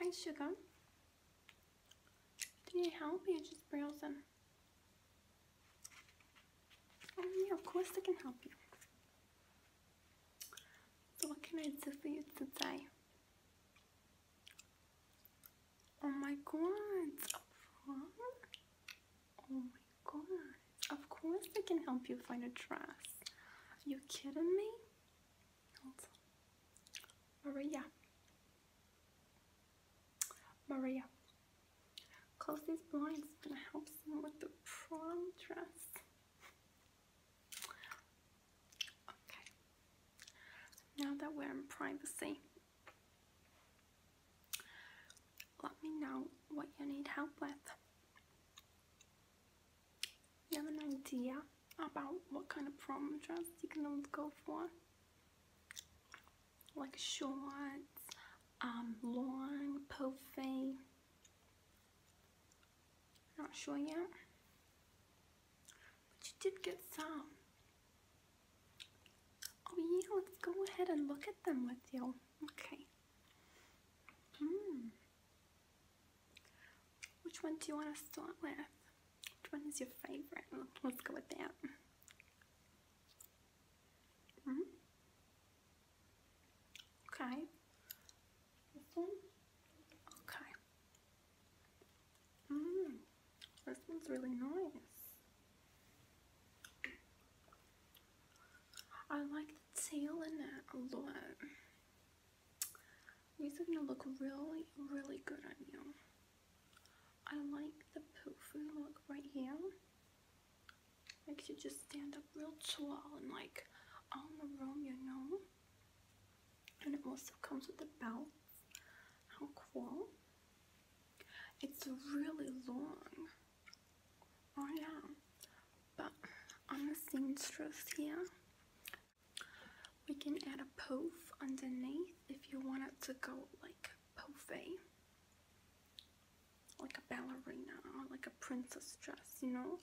Hi, sugar. Can you help? me, you just browsing. Um, of course I can help you. what can I do for you today? Oh my god, Oh my god, of course I can help you find a dress. Are you kidding me? Hold yeah. Maria, close these blinds and help him with the prom dress. Okay, now that we're in privacy, let me know what you need help with. You have an idea about what kind of prom dress you're gonna go for? like shorts, um, long, puffy. Not sure yet. But you did get some. Oh yeah, let's go ahead and look at them with you. Okay. Hmm. Which one do you want to start with? Which one is your favorite? Let's go with that. Okay. This one. Okay. Mm, this one's really nice. I like the tail in it a lot. These are gonna look really, really good on you. I like the poofy look right here. Makes you just stand up real tall and like on the room, you know. And it also comes with a belt. How cool. It's really long. Oh yeah. But on the seamstress here, we can add a poof underneath if you want it to go like puffy, like a ballerina, like a princess dress, you know,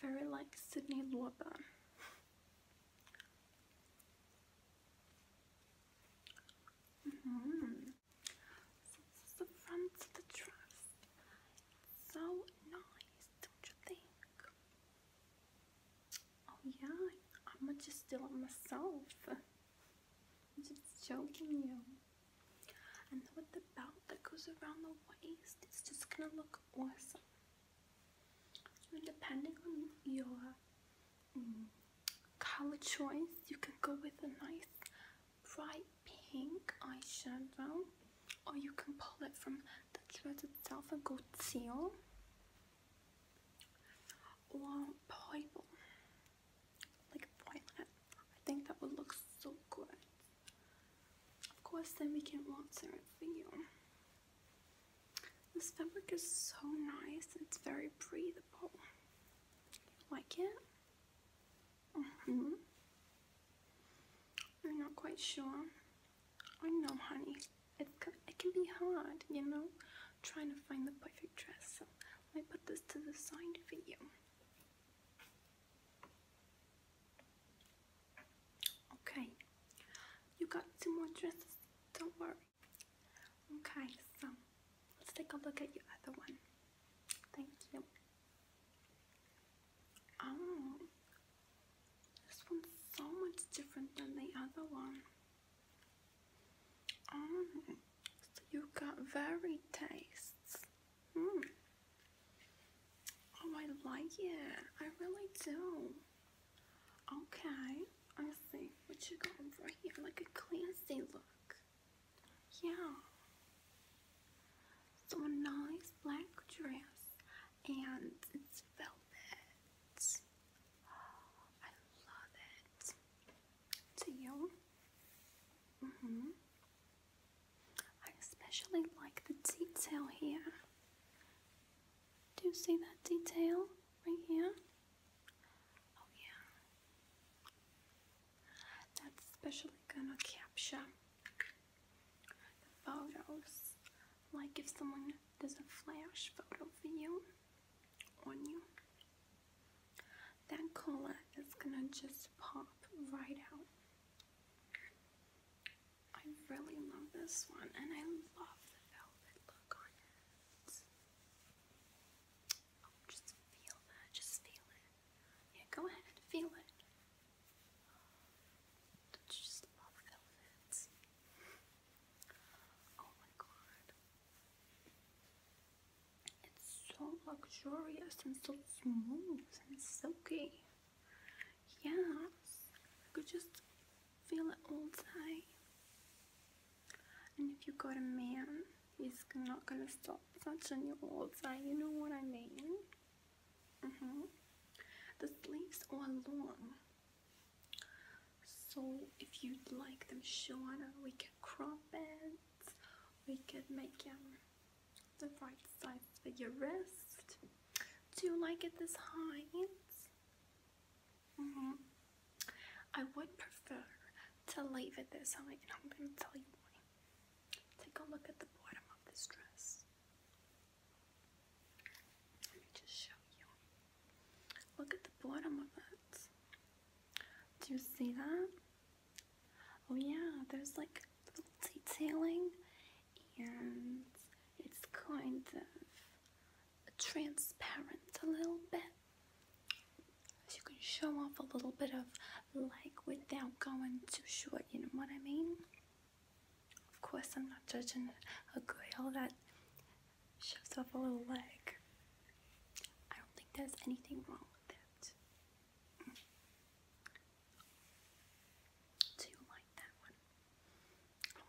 very like Sydney Luba. -hmm. the front of the dress. so nice, don't you think? Oh yeah, I'm just still on myself. I'm just joking you. And with the belt that goes around the waist, it's just gonna look awesome. depending on your mm, color choice, you can go with a nice bright pink eyeshadow, or you can pull it from the dress itself and go teal or purple, like violet. I think that would look so good. Of course, then we can water it for This fabric is so nice. It's very breathable. like it? hmm I'm not quite sure. I know, honey it's it can be hard, you know, trying to find the perfect dress. So let me put this to the side for you. Okay, you got two more dresses. Don't worry. Okay, so let's take a look at your other one. Thank you. Oh, this one's so much different than the other one. Oh, um, so you got varied tastes. Mm. Oh, I like it. I really do. Okay, I see what you got over here, like a classy look. Yeah. So a nice black dress, and it's velvet. I love it. Do you? hmm. I especially like the detail here. Do you see that detail right here? Oh, yeah. That's especially gonna capture the photos. Like if someone does a flash photo for you, on you, that color is gonna just pop right out. I really love this one, and I love the velvet look on it. Oh, just feel that, just feel it. Yeah, go ahead, feel it. do just love velvet? Oh my god. It's so luxurious and so smooth and silky. Yeah, I could just feel it all the And if you got a man, he's not gonna stop touching you all the You know what I mean? Mm hmm The sleeves are long. So if you'd like them shorter, we could crop it. We could make them um, the right size for your wrist. Do you like it this height? -hmm. I would prefer to leave it this height, and I'm going to tell you why. Take a look at the bottom of this dress. Let me just show you. Look at the bottom of it. Do you see that? Oh yeah, there's like little detailing and it's kind of transparent a little bit. So you can show off a little bit of like without going too short, you know what I mean? Of course I'm not judging a girl that shows off a little leg. I don't think there's anything wrong with that. Mm. Do you like that one?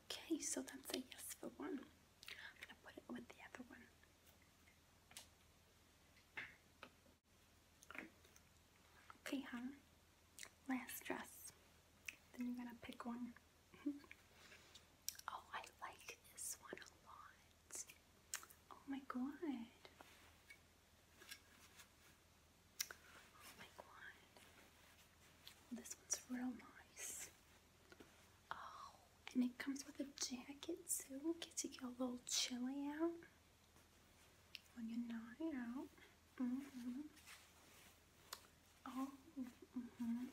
Okay, so that's a yes for one. I'm gonna put it with the other one. Okay, huh? Last dress. Then you're gonna pick one. oh, I like this one a lot. Oh my god. Oh my god. This one's real nice. Oh, and it comes with a jacket too. Get to get a little chilly out when you're not out. Mm-hmm. Oh, mm -hmm.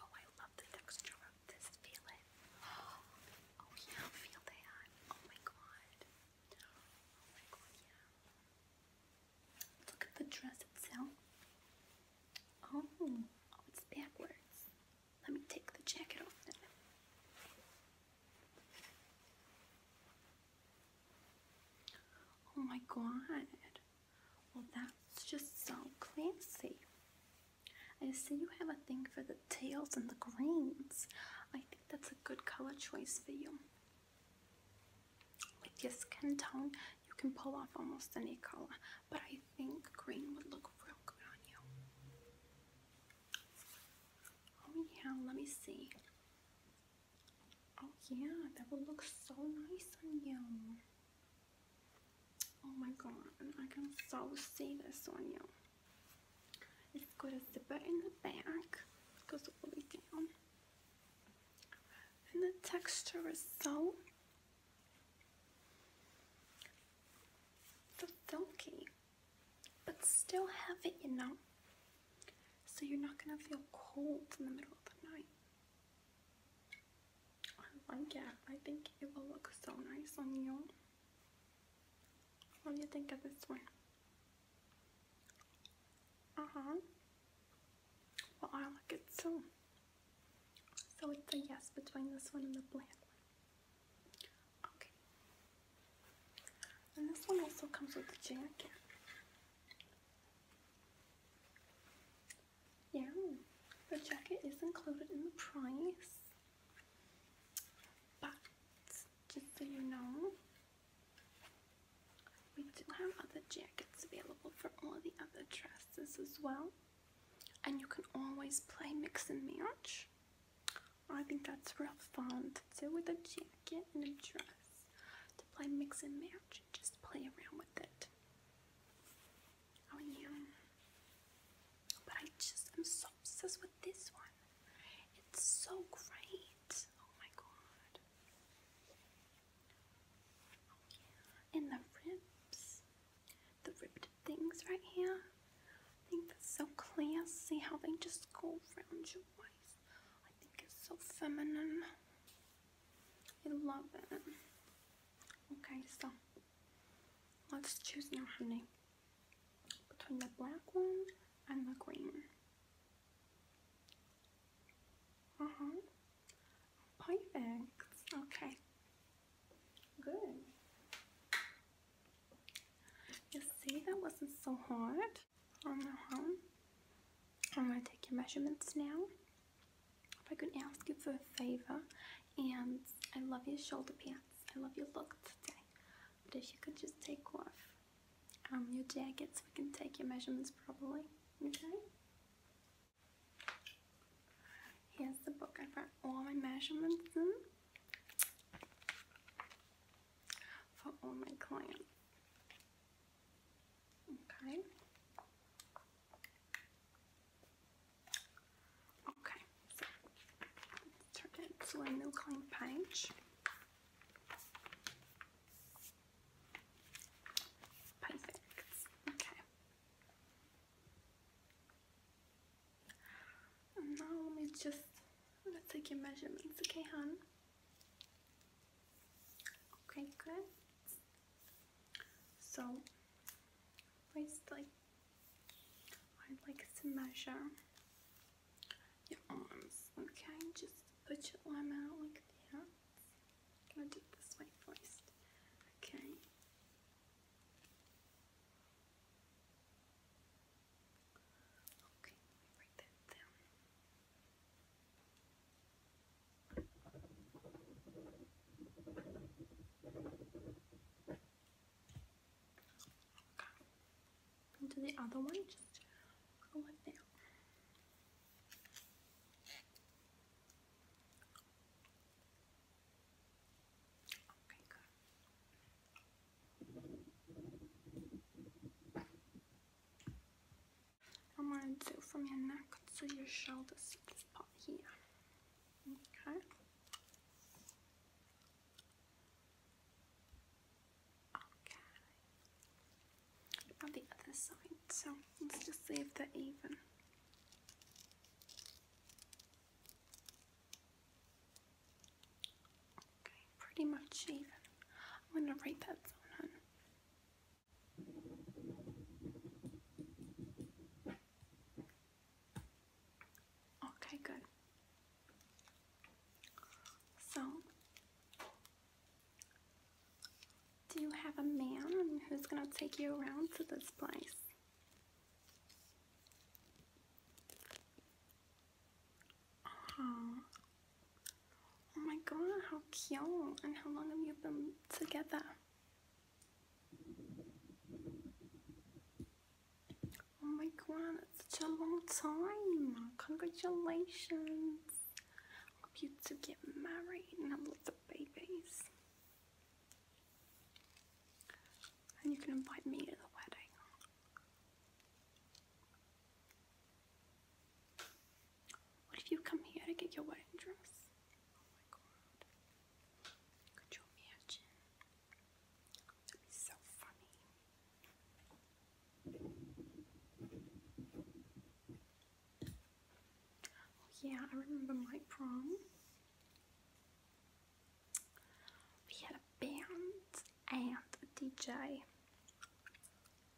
oh, I love the texture of this. Feel Oh, feel that. Oh my god. Oh my god, yeah. Look at the dress itself. Oh, oh, it's backwards. Let me take the jacket off now. Oh my god. Well, that's just so classy. I see you have a thing for the tails and the greens. I think that's a good color choice for you. With your skin tone, you can pull off almost any color, but I think green would look real good on you. Oh yeah, let me see. Oh yeah, that would look so nice on you. Oh my god, I can so see this on you. It's got a zipper in the back. goes all the way down. And the texture is so silky, but still heavy, you So you're not gonna feel cold in the middle of the night. I like it. I think it will look so nice on you. What do you think of this one? Uh-huh. Well, I like it too. So it's a yes between this one and the black one. Okay. And this one also comes with a jacket. Yeah, the jacket is included in the price, but just so you know, we do have other jackets available for all the other dresses as well, and you can always play mix and match. I think that's real fun to do with a jacket and a dress to play mix and match just play around with it. Oh yeah. But I just am so obsessed with this one. It's so great. Oh my god. Oh yeah. And the ribs. The ribbed things right here. I think that's so classy how they just go around your waist. I think it's so feminine. I love it. Okay, so let's choose now, honey, between the black one and the green one. Uh huh. Perfect. Okay. Good. You see, that wasn't so hard. I'm going to take your measurements now. If I could ask you for a favor, and I love your shoulder pants. I love your look today. But if you could just take off um, your jacket so we can take your measurements properly, okay? Here's the book. I've got all my measurements in for all my clients. Okay. Okay, so turn it to a new clean page. Perfect. Okay. now let me just let's take your measurements, okay, hon? Okay, good. So, firstly, I'd like to measure your arms. Okay, just put your arm out like that. I'm this way first. Okay. Okay, write that down. Come the other one, go up there. Okay, I'm gonna do from your neck to your shoulders. sweet spot here. Okay. Okay. On the other side, so let's just see if they're even. Okay, pretty much even. I'm gonna write that zone on. Okay, good. So, do you have a man who's gonna take you around to this place? Uh, oh. my god, how cute! And how long have you been together? Oh my god, it's such a long time! Congratulations! hope you two get married and have lots of babies. And you can invite me to the wedding. What if you come here to get your wedding dress? Oh Could you imagine? That would be so funny. Oh, yeah, I remember my prom. We had a band and DJ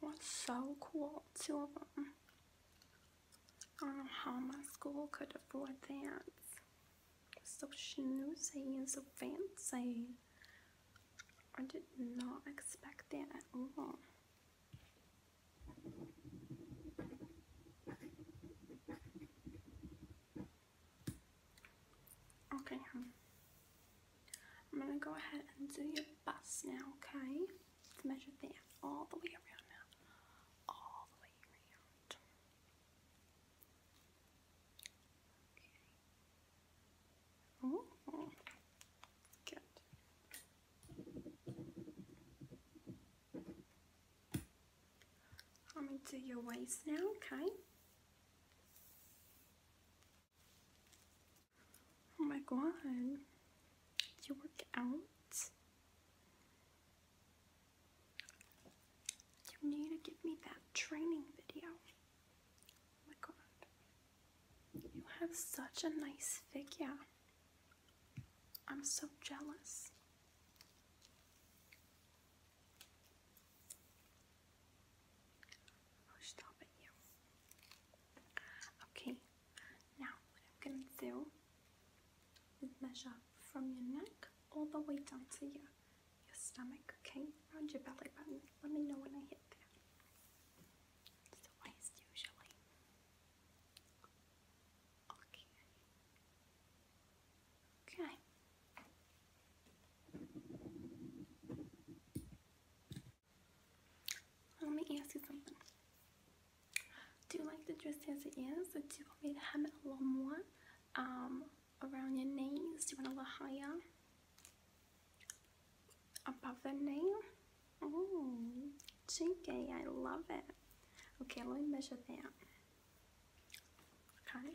was so cool of them. I don't know how my school could afford that. So snoozy and so fancy. I did not expect that at all. Okay, um, I'm going to go ahead and do your bust now, okay? Let's measure that all the way around now. All the way around. Okay. Ooh, ooh. Good. I'm going to do your waist now, okay? Oh my god. Do you work out? You need to give me that training video. Oh my god. You have such a nice figure. I'm so jealous. Oh, okay, now what I'm gonna do is measure from your neck all the way down to your, your stomach, okay? Around your belly button. Let me know when I hit there. It's the way usually. Okay. Okay. Let me ask you something. Do you like the dress as it is, or do you want me to have it a little more um, around your knees? Do you want a little higher? Above the knee? Ooh, cheeky, I love it. Okay, let me measure that. Okay.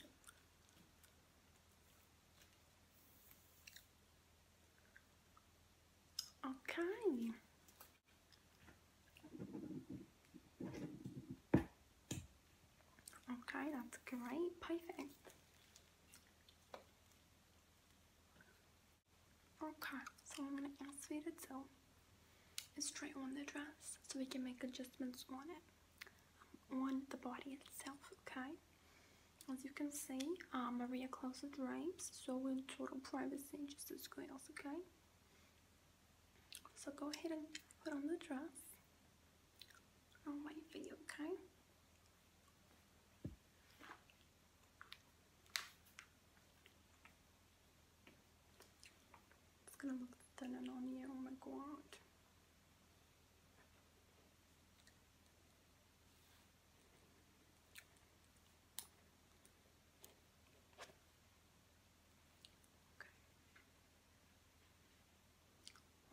Okay. Okay, that's great. Perfect. Okay, so I'm going to ask Vita to straight on the dress so we can make adjustments on it on the body itself, okay? As you can see, uh, Maria closed the drapes, so in total privacy, just as girls, okay? So go ahead and put on the dress. I'll wait okay? It's gonna look thinner on you, oh my god.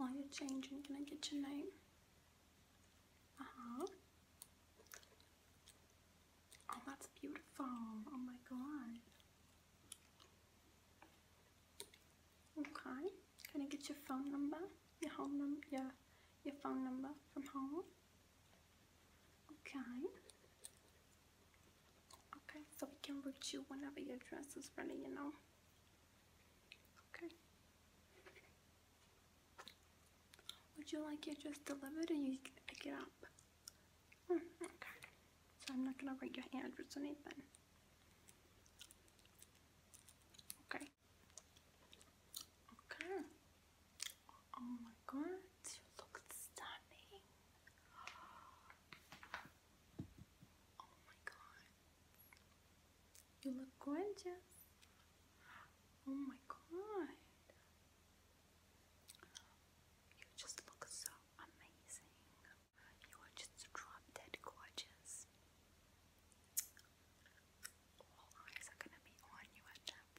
Okay. While you're changing, can I get your name? Uh huh. Oh, that's beautiful. Oh my god. Okay. Can I get your phone number? Your home number? Your, your phone number from home? Okay. Okay, so we can reach you whenever your dress is ready, you know. Okay. Would you like your dress delivered and you pick it up? Hmm, okay. So I'm not gonna write your address or anything. Okay. Okay. Oh my god, you look stunning. Oh my god. You look gorgeous. Oh my god. You just look so amazing. You are just drop dead gorgeous. All eyes are gonna be on you at that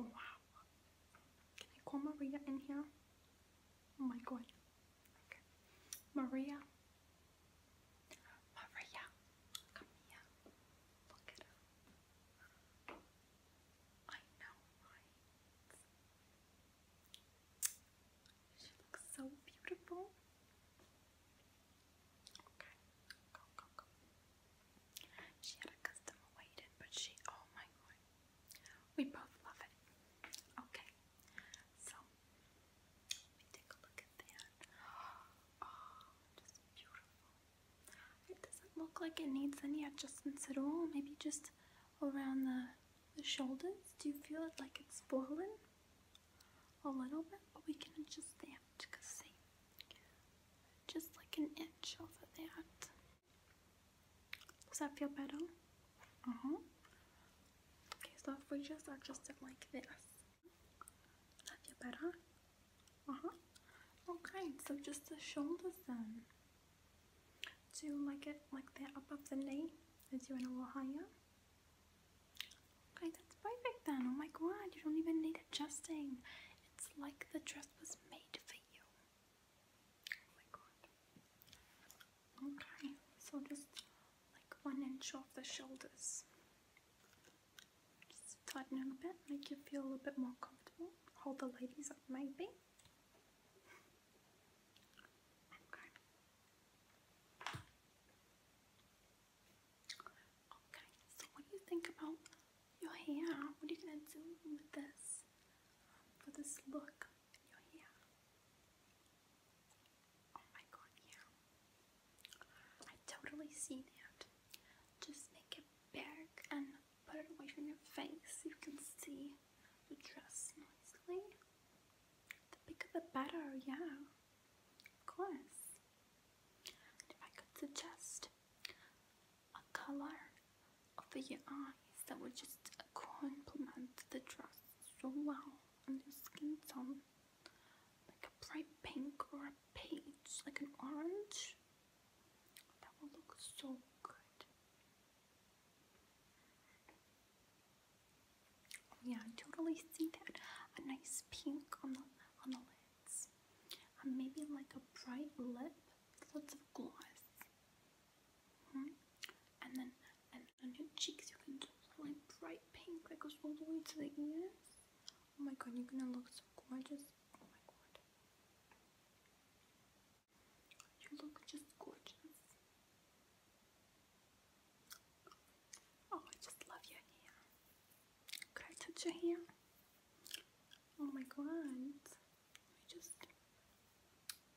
Wow. Can I call Maria in here? Oh my god. Maria. Maria. Come here. Look at her. I know, she looks so beautiful. Okay, oh We both love it. Okay, so let me take a look at that. Oh, just beautiful. It doesn't look like it needs any adjustments at all. Maybe just around the, shoulders. Do you feel it like it's swollen a little bit? But we can adjust that because see, just like an inch over that. Does that feel better? Uh-huh. Okay, so if we just adjust it like this. Does that feel better? Uh-huh. Okay, so just the shoulders then. So you'll make it like that above the knee as you're a little higher. Okay, that's perfect then. Oh my god, you don't even need adjusting. It's like the dress was made for you. Oh okay, so just like one inch off the shoulders. Just tighten it a bit, make you feel a little bit more comfortable. Hold the ladies up maybe. Okay. Okay, so what do you think about your hair? What are you gonna do with this? For this look your hair? Oh my god, yeah. I totally see that. Just make it big and put it away from your face. so You can see the dress nicely. The bigger the better, yeah. Of course. if I could suggest a color over your eyes that would just complement the dress so well on your skin tone. Like a bright pink or a peach, like an orange. That will look so good. Yeah, I totally see that. A nice pink on the on the lids. And maybe like a bright lip, lots of gloss. Hmm? And then on your cheeks you can do like bright pink that goes all the way to the ears. Oh my god, you're gonna look so gorgeous. Oh my god. You look just gorgeous. Oh, I just love your hair. Could I touch your hair? Oh my god. I just.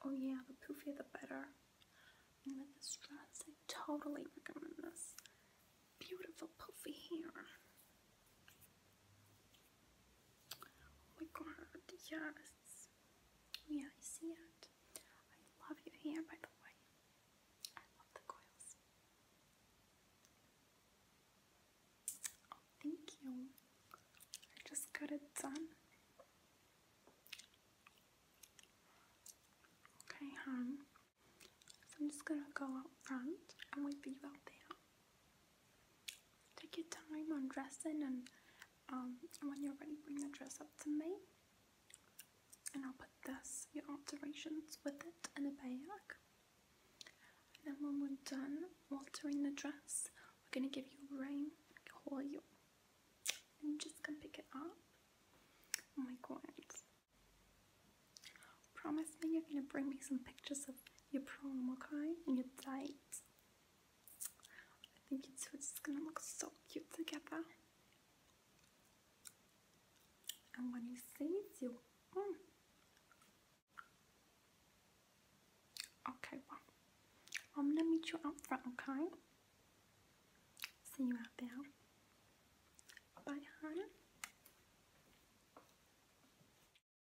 Oh yeah, the poofier the better. And with this dress, I totally recommend this. Beautiful poofy hair. Oh my god, yes. Oh yeah, I see it. I love your hair, by the way. I love the coils. Oh, thank you. I just got it done. Okay, hon. I'm just gonna go out front and wait for you out there. Take your time on dressing and um, when you're ready, bring the dress up to me. And I'll put this, your alterations with it in a bag. And then when we're done altering the dress, we're going to give you a ring, call you. And you just can pick it up. Oh my god. Promise me you're going to bring me some pictures of your prom, okay? And your date. I think it's just gonna look so cute together. And when you see hmm. you. Okay, well, I'm gonna meet you out front, okay? See you out there. Bye, honey.